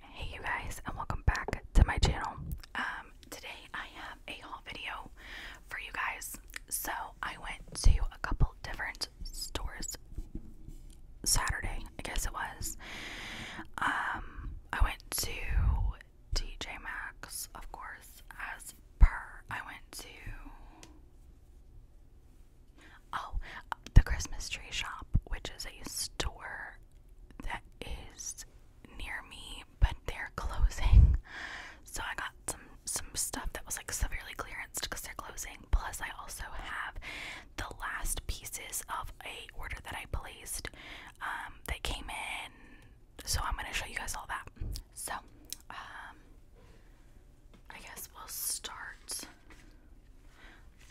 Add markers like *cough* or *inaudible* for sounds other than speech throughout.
Hey you guys and welcome back to my channel. Um, today I have a haul video for you guys. So I went to a couple different stores Saturday, I guess it was. Um, I went to TJ Maxx, of course, as per. I went to Oh, the Christmas tree shop, which is a store that is near me, but they're closing. So I got some some stuff that was like severely clearance because they're closing. Plus, I also have the last pieces of a order that I placed um, that came in. So I'm gonna show you guys all that. So um, I guess we'll start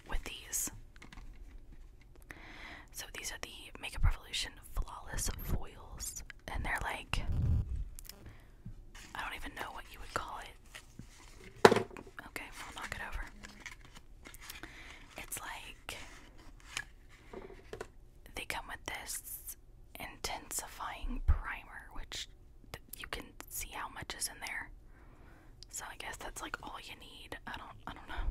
with these. So these are the Makeup Revolution Flawless Foils, and they're like I don't even know what you would call it. Okay, I'll knock it over. It's like they come with this intensifying primer, which you can see how much is in there. So I guess that's like all you need. I don't I don't know.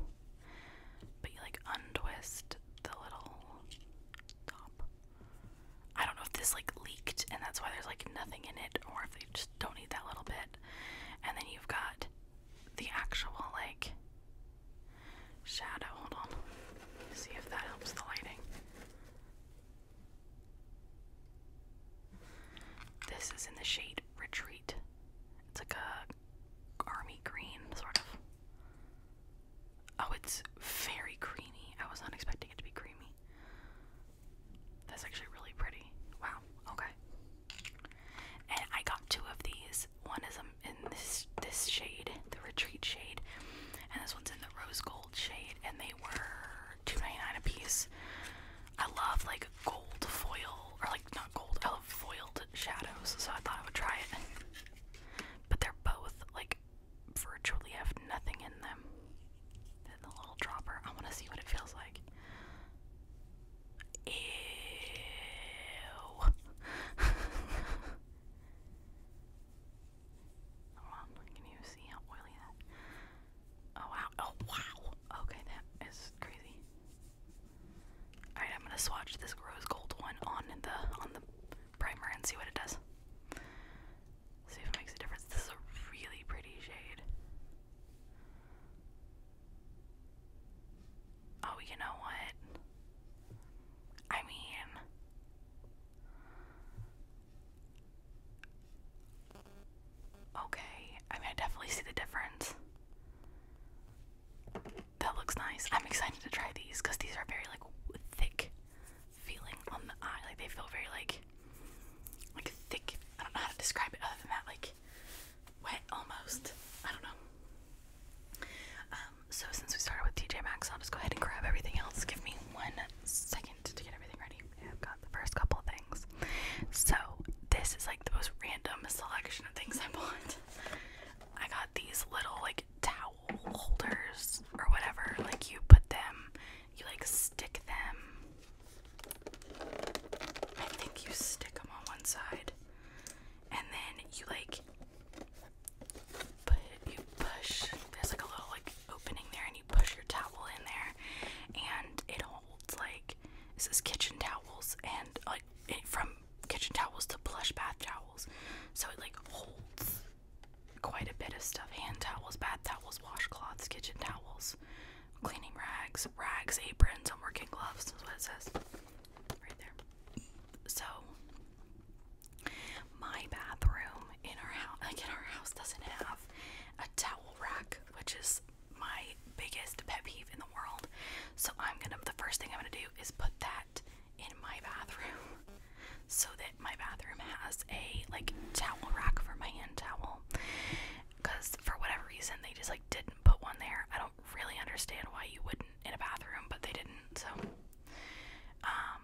But you like untwist the little top. I don't know if this like leaked and that's why there's like nothing in it or if they just don't need that little bit. And then you've got the actual like shadow. Hold on. See if that helps the lighting. This is in the shade Retreat. It's like a army green, sort of. Oh, it's very creamy. I was not expecting it to be creamy. That's actually really pretty. Wow, okay. And I got two of these. One is um, in this this shade, the retreat shade, and this one's in the rose gold shade, and they were two ninety nine a piece. I love like gold foil, or like not gold, I love foiled shadows, so I thought I would try it. but they're both like virtually have nothing in them. Then the little dropper, I want to see what it feels like. Ew. *laughs* Hold on, can you see how oily that? Oh wow. Oh wow. Okay, that is crazy. All right, I'm gonna swatch this rose gold one on the on the primer and see what it does. See if it makes a difference. This is a really pretty shade. Oh, you know what? I mean, Okay, I mean, I definitely see the difference. That looks nice. I'm excited to try these because these are very like thick feeling on the eye. Like they feel very like like thick. I don't know how to describe it other than that. Like wet almost. I don't know. Um, so since we started with TJ Maxx, I'll just go ahead and grab everything else. Give me one second to get everything ready. I've got the first couple things. So this is like the most random selection of things I bought. I got these little like towel holders or whatever. Like you put them, you like stick them. I think you stick them on one side, and then you like you push. There's like a little like opening there, and you push your towel in there, and it'll it's Like it says kitchen towels and like from kitchen towels to plush bath towels. So it like holds quite a bit of stuff: hand towels, bath towels, washcloths, kitchen towels, cleaning rags, rags, aprons, and working gloves. That's what it says right there. So my bathroom in our house, like in our house, doesn't have a towel rack, which is my biggest pet peeve in the world. So I'm gonna the first thing I'm gonna do is put that in my bathroom *laughs* so that my bathroom has a like towel rack for my hand towel. Cause for whatever reason they just like didn't put one there. I don't really understand why you wouldn't in a bathroom, but they didn't, so um,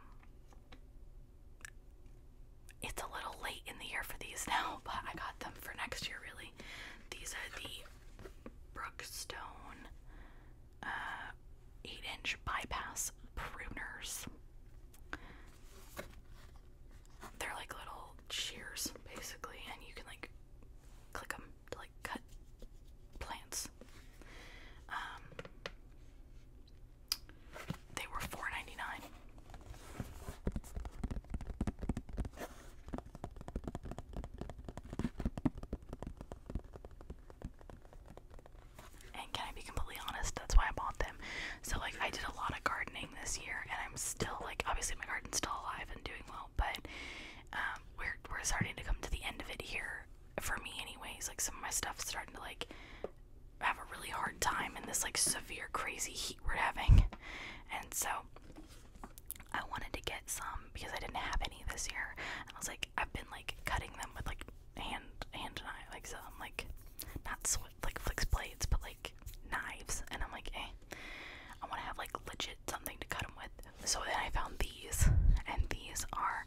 it's a little late in the year for these now, *laughs* but I got them for next year, really. These are the Brookstone uh, 8 inch bypass pruners. They're like little shears, basically, and you can like click them to like cut plants. Um, they were $4.99. And can I be completely honest? That's why I bought them. So like I did a lot of gardening this year and I'm still like obviously my garden's still alive and doing well, but um we're we're starting to come to the end of it here for me anyways. Like some of my stuff's starting to like have a really hard time in this like severe crazy heat we're having and so I wanted to get some because I didn't have any this year and I was like I've been like cutting them with like hand hand I like some like not sw like flicks blades but like knives and I'm like hey, eh, I want to have like legit something to cut them with so then I found these and these are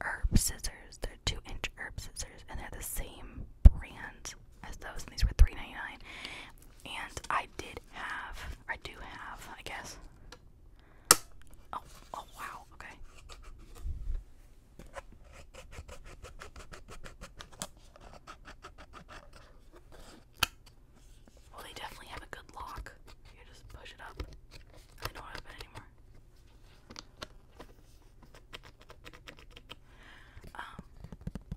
herb scissors they're two inch herb scissors and they're the same brand as those, and these were 3 And I did have, I do have, I guess. Oh, oh wow, okay. Well, they definitely have a good lock. You just push it up. I don't have anymore. Um,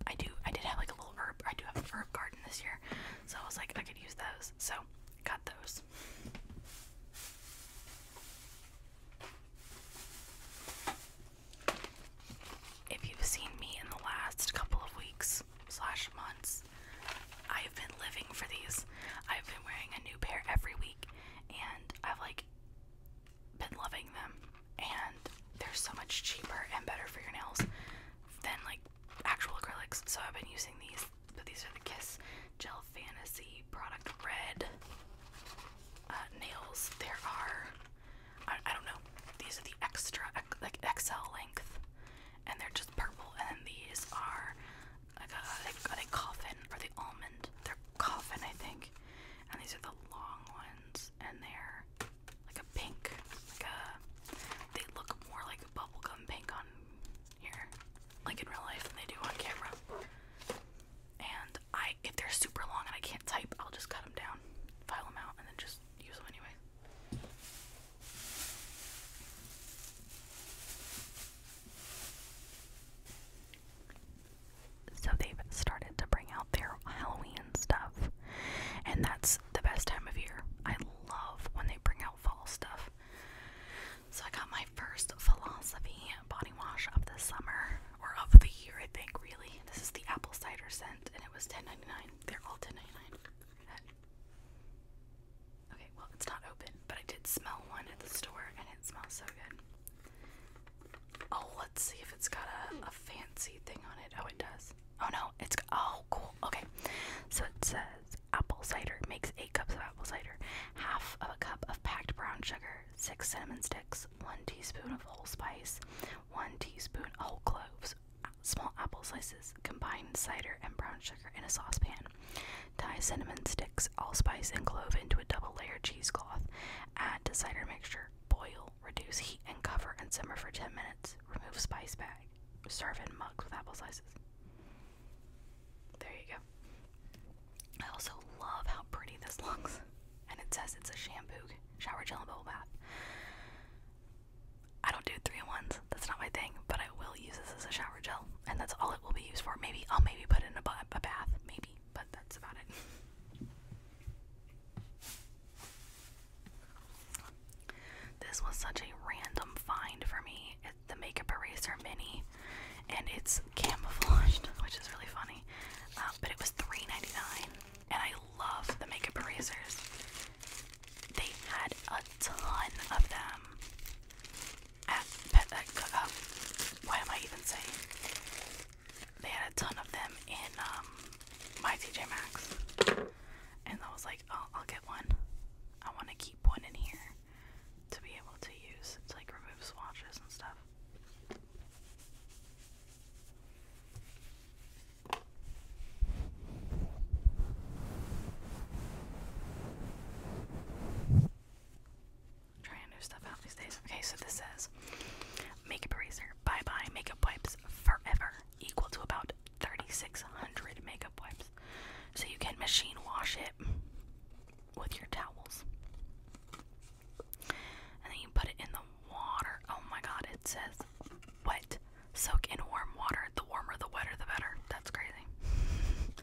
I do. I did have like a little herb. I do have a herb garden this year, so I was like, I could use those. So got those. If you've seen me in the last couple of weeks slash months, I've been living for these. I've been wearing a new pair every week, and I've like been loving them, and they're so much cheaper and better for your nails than like actual acrylics. So I've been using these, but these are the Kiss Gel Fantasy Product Red uh, nails. There are, I, don't know, these are the extra like XL length, and they're just purple. And then these are like a, are they coffin or the almond? They're coffin, I think. And these are the long ones and they're like a pink, like a. They look more like a bubblegum pink on here, like in real life, than they do on camera. And I, if they're super long and I can't type, I'll just cut them down, file them out, and then just use them anyway. So they've started to bring out their Halloween stuff. And that's the best time of year. I love when they bring out fall stuff. So I got my first philosophy body wash of the summer or of the year, I think, really. This is the apple cider scent and it was $10.99. They're all $10.99. Okay, well, it's not open, but I did smell one at the store and it smells so good. Oh, let's see if it's got a, fancy thing on it. Oh, it does. Oh no, it's oh cool. Okay, so it says apple cider makes eight cups of apple cider, half of a cup of packed brown sugar, six cinnamon sticks, one teaspoon of whole spice, one teaspoon whole cloves, small apple slices, combine cider and brown sugar in a saucepan. Tie cinnamon sticks, allspice, and clove into a double layer cheesecloth. Add to cider mixture. Boil Reduce heat and cover and simmer for 10 minutes. Remove spice bag. Serve in mugs with apple slices. There you go. I also love how pretty this looks. And it says it's a shampoo, shower gel, and bubble bath. I don't do three in ones. That's not my thing. But I will use this as a shower gel, and that's all it will be used for. Maybe I'll maybe put it in a, bath. Maybe but that's about it. This was such a random find for me. It's the Makeup Eraser Mini, and it's camouflaged, *laughs* which is really funny. Uh, but it was $3.99, and I love the Makeup Erasers. They had a ton of them at Pet. Uh, why am I even saying? they had a ton of them in um, my TJ Maxx, and I was like, oh, I'll get one. I want to keep one in here to be able to use to like remove swatches and stuff trying new stuff out these days. Okay, so this says makeup eraser, bye bye makeup wipes forever, equal to about 3,600 makeup wipes. So you can machine wash it with your towels. And then you put it in the water. Oh my god, it says wet. Soak in warm water. The warmer, the wetter, the better. That's crazy. *laughs*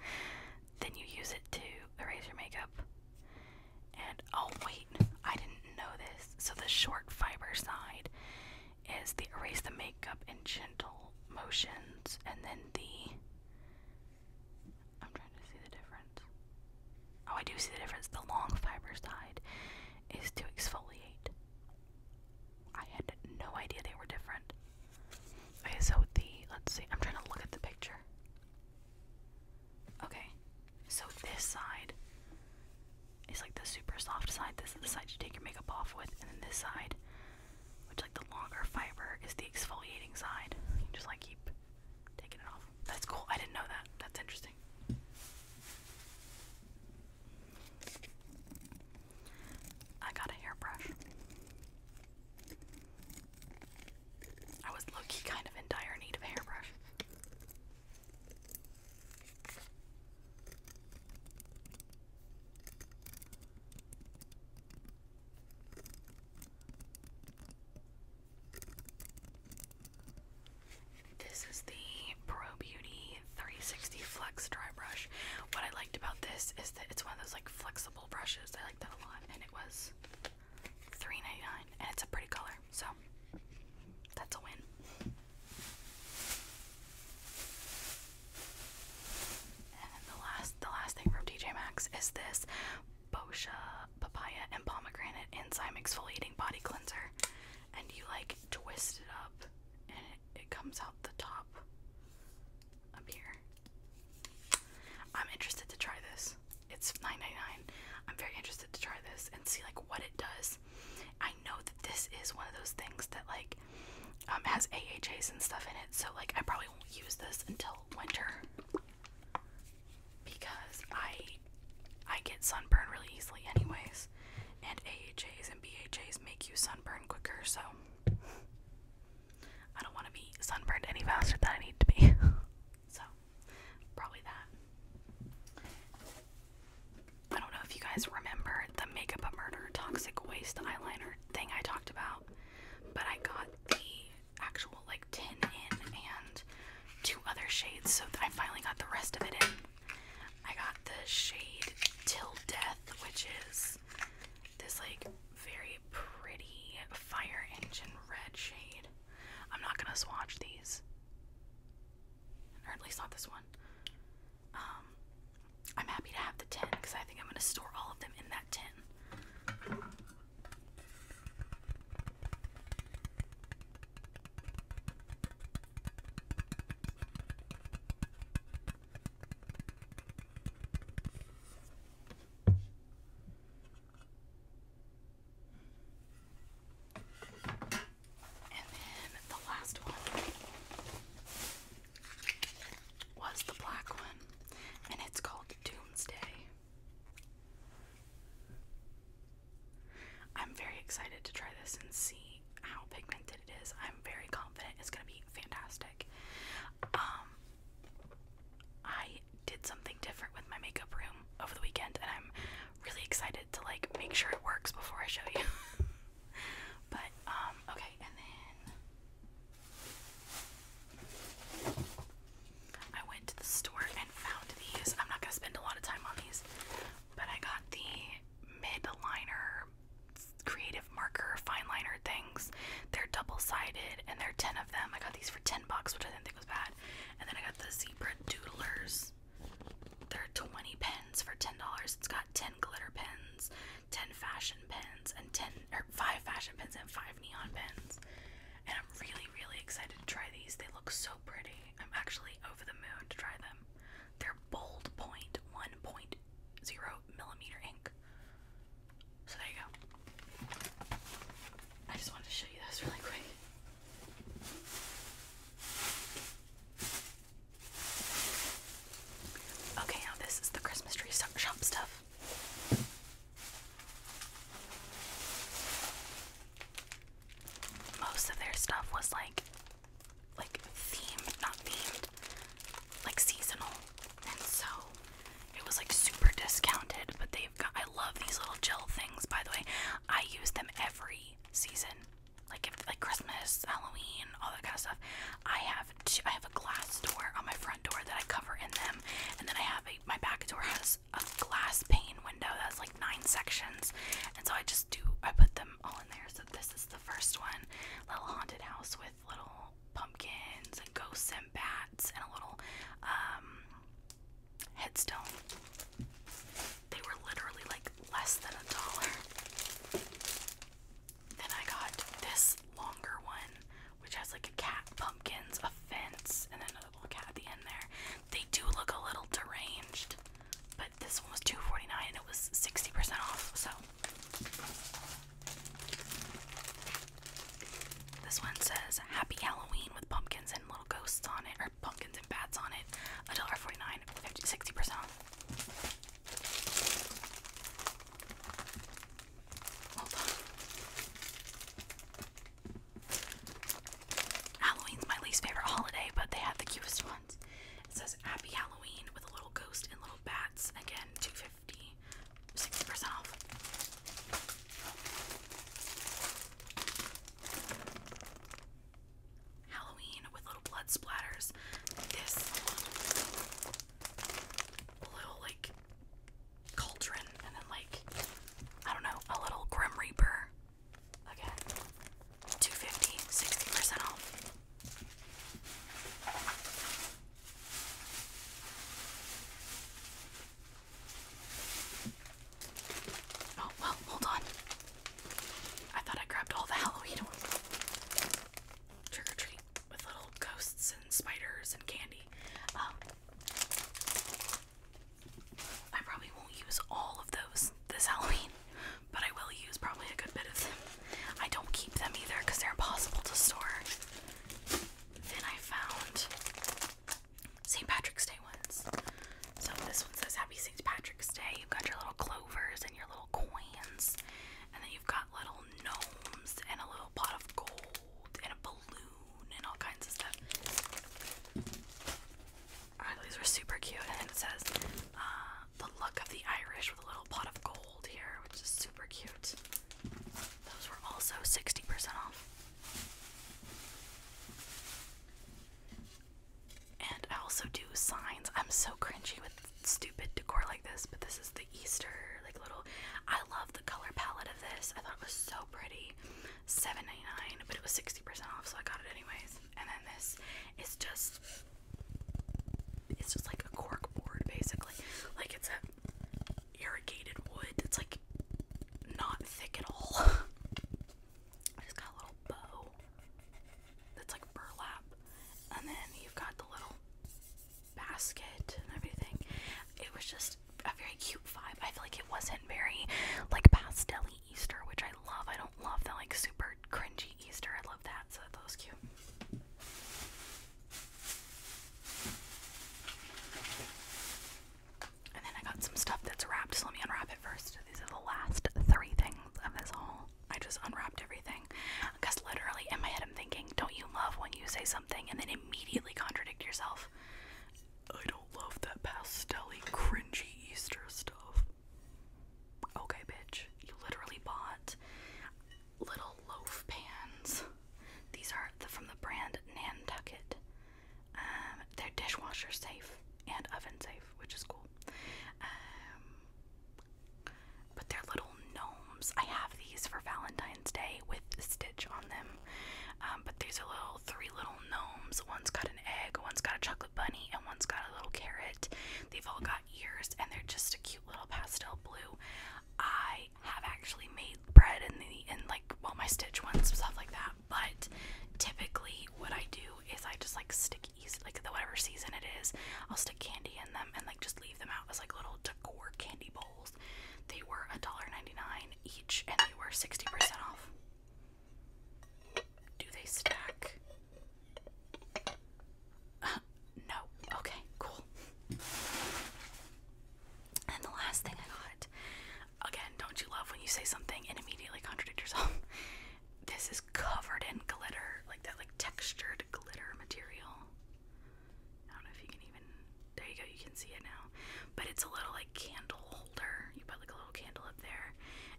then you use it to erase your makeup and oh, wait, I didn't know this. So, the short fiber side is the erase the makeup in gentle motions, and then the. I'm trying to see the difference. Oh, I do see the difference. The long fiber side is to exfoliate. I had no idea they were different. Okay, so the. Let's see, I'm trying to look at the picture. Okay, so this side is like the super soft side. This is the side you take your makeup off with, and then this side, which like the longer fiber, is the exfoliating side. You just like keep taking it off. That's cool. I didn't know that. That's interesting. I got a hairbrush. I was low kind of in dire need of hairbrush. This is the Pro Beauty 360 Flex Dry Brush. What I liked about this is that it's one of those like flexible brushes. I like that a lot, and it was 3 and it's a pretty color, so that's a win. And the last the last thing from TJ Maxx is this Boscia papaya and pomegranate enzyme exfoliating body cleanser. And you like twist it up and it, it comes out the top up here. I'm interested to try this. It's $9.99. I'm very interested to try this and see like what it does. I know that this is one of those things that like um, has AHAs and stuff in it, so like I probably won't use this until winter because I I get sunburn really easily anyways, and AHAs and BHAs make you sunburn quicker, so I don't want to be sunburned any faster than I need to be. *laughs* So, probably that. I don't know if you guys remember the Makeup a Murder Toxic Waste Eyeliner thing I talked about, but I got the actual like 10 in and two other shades, so I finally got the rest of it in. I got the shade Till Death, which is this like very pretty fire engine red shade. I'm not gonna swatch these, or at least not this one. Um, I'm happy to have the tin because I think I'm gonna store all of them in that tin. And then the last one was the black one, and it's called Doomsday. I'm very excited to try this and see how pigmented it is. I'm very confident it's going to be fantastic. Um I did something different with my makeup room over the weekend and I'm really excited to like make sure it works before I show you. *laughs* but um, okay, and then I went to the store and found these. I'm not going to spend a lot of time on these, but I got the mid liner creative marker fine liner things. They're double-sided and there're 10 of them. I got these for 10 bucks, which I think was bad. And then I got the zebra doodlers. They're 20 pens for $10. It's got 10 glitter pens, 10 fashion pens, and 10 or 5 fashion pens and 5 neon pens. And I'm really, really excited to try these. They look so pretty. I'm actually over the moon to try them. They're bold point 1.0 millimeter ink. So there you go. I just wanted to show you this really quick. Okay, now this is the Christmas tree shop stuff. Most of their stuff was like like themed, not themed, like seasonal. And so it was like super discounted, but they I love these little gel things, by the way. I use them every season, like like Christmas, Halloween, all that kind of stuff. I have I have a glass door on my front door that I cover in them, and then I have a my back door has a glass pane window that's like nine sections, and so I just do I put them all in there. So this is the first one, little haunted house with little pumpkins and ghosts and bats and a little um headstone. They were literally like less than a dollar. Then I got this longer one, which has like a cat, pumpkins, a fence, and then another cat at the end there. They do look a little deranged, but this one was two forty nine and it was 60% off, so this one says Happy Halloween with pumpkins and little ghosts on it, or pumpkins and bats on it. $1.49, 50, 60% Halloween's my least favorite holiday, but they had the cutest ones. It says Happy Halloween with a little ghost and little bats. Again, 250 60% off. Halloween with little blood splatters. This little like cauldron and then like I don't know, a little Grim Reaper. Again, 250, percent off. Oh, well, hold on. I thought I grabbed all the Halloween Trick or treat with little ghosts and spiders and candy. Um, I probably won't use all of those this Halloween, but I will use probably a good bit of them. I don't keep them either because they're impossible to store. Then I found St. Patrick's Day ones. So this one says Happy St. Patrick's Day. You've got your little clovers and your little coins, and then you've got little gnomes and a little pot of gold and a balloon and all kinds of stuff. Alright, these were super cute. And it says uh, the look of the Irish with a little pot of gold here, which is super cute. Those were also 60% off. And I also do signs. I'm so cringy with stupid decor like this, but this is the Easter like little I love the color palette of this. I thought it was so pretty. 7 but it was 60% off, so I got it anyways. And then this is just it's just like a cork board basically. Like it's a irrigated wood that's like not thick at all. *laughs* I just got a little bow that's like burlap, and then you've got the little basket and everything. It was just a very cute vibe. I feel like it wasn't very like pastel Easter, which I love. I don't love the like super cringy Easter. I love that, so that was cute. And then I got some stuff that's wrapped, so let me unwrap it first. These are the last three things of this haul. I just unwrapped everything. Because literally in my head I'm thinking, don't you love when you say something and then immediately contradict yourself? I don't love that pastel cringy Easter stuff. Okay, bitch. You literally bought little loaf pans these are the, from the brand Nantucket. Um, they're dishwasher safe and oven safe, which is cool. Um, but they're little gnomes. I have these for Valentine's Day with a stitch on them. Um, but these are little three little gnomes. One's got an egg, one's got a chocolate bunny, and one's got a little carrot. They've all got ears, and they're just a cute little pastel blue. I have actually made bread and like well my stitch ones stuff like that. But typically, what I do is I just like stick yeast, like the whatever season it is, I'll stick candy in them and like just leave them out as like little decor candy bowls. They were $1.99 each, and they were 60% off. Do they stack? Uh, no. Okay, cool. And the last thing I got, again, don't you love when you say something and immediately contradict yourself? *laughs* This is covered in glitter, like that, like textured glitter material. I don't know if you can even. There you go, you can see it now. But it's a little like candle holder. You put like a little candle up there,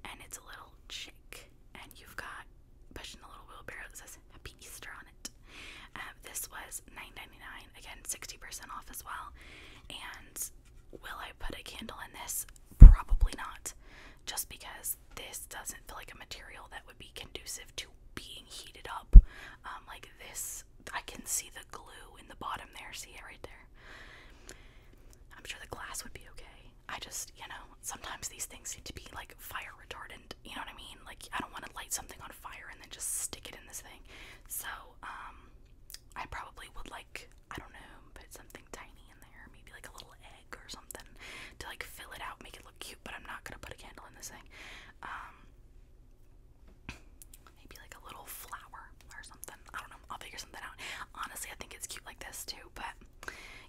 and it's a little chick, and you've got pushing a little wheelbarrow that says Happy Easter on it. Um, this was nine ninety nine Again, 60% off as well. And will I put a candle in this? Probably not. Just because this doesn't feel like a material that would be conducive to being heated up. Um, like this, I can see the glue in the bottom there. See it right there? I'm sure the glass would be okay. I just, you know, sometimes these things need to be like fire retardant you know what I mean? Like, I don't want to light something on fire and then just stick it in this thing. So, um, I probably would like, I don't know, put something tiny in there, maybe like a little egg or something to like fill it out, make it look cute, but I'm not gonna put a candle in this thing. Um, maybe like a little flower or something. I don't know, I'll figure something out. Honestly, I think it's cute like this too, but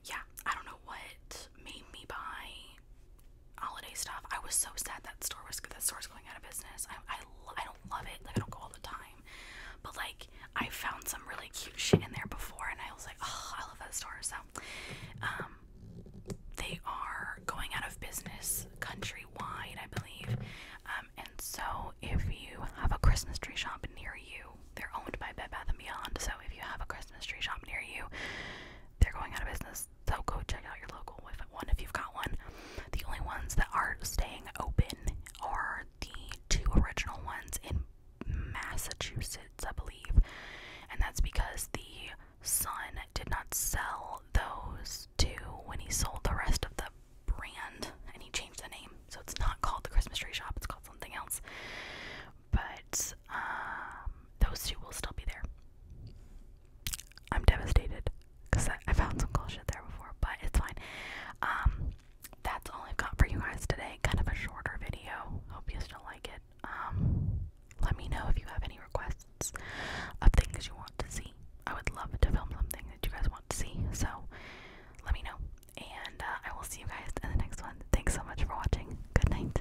yeah, I don't know what made me buy holiday stuff. I was so sad that store was that store's going out of business. I, I don't love it. Like I don't go all the time, but like I found some really cute shit in there before, and I was like, I love that store. So, um, they are going out of business countrywide, I believe. Um, and so if you have a Christmas tree shop near you, they're owned by Bed Bath and Beyond. So if you have a Christmas tree shop near you, they're going out of business. So go check out your local one if you've got one. The only ones that are staying open are the two original ones in Massachusetts, I believe. And that's because the son did not sell those two when he sold the rest of the brand and he changed the name. So it's not called the Christmas Tree Shop, it's called something else. But um, those two will still be there. I'm devastated because I, found some cool shit there before, but it's fine. Um, that's all I've got for you guys today. Kind of a shorter video. Hope you still like it. Um, let me know if you have any requests of things you want to see. I would love to film something that you guys want to see. So let me know, and uh, I will see you guys in the next one. Thanks so much for watching. Good night.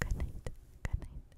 Good night. Good night.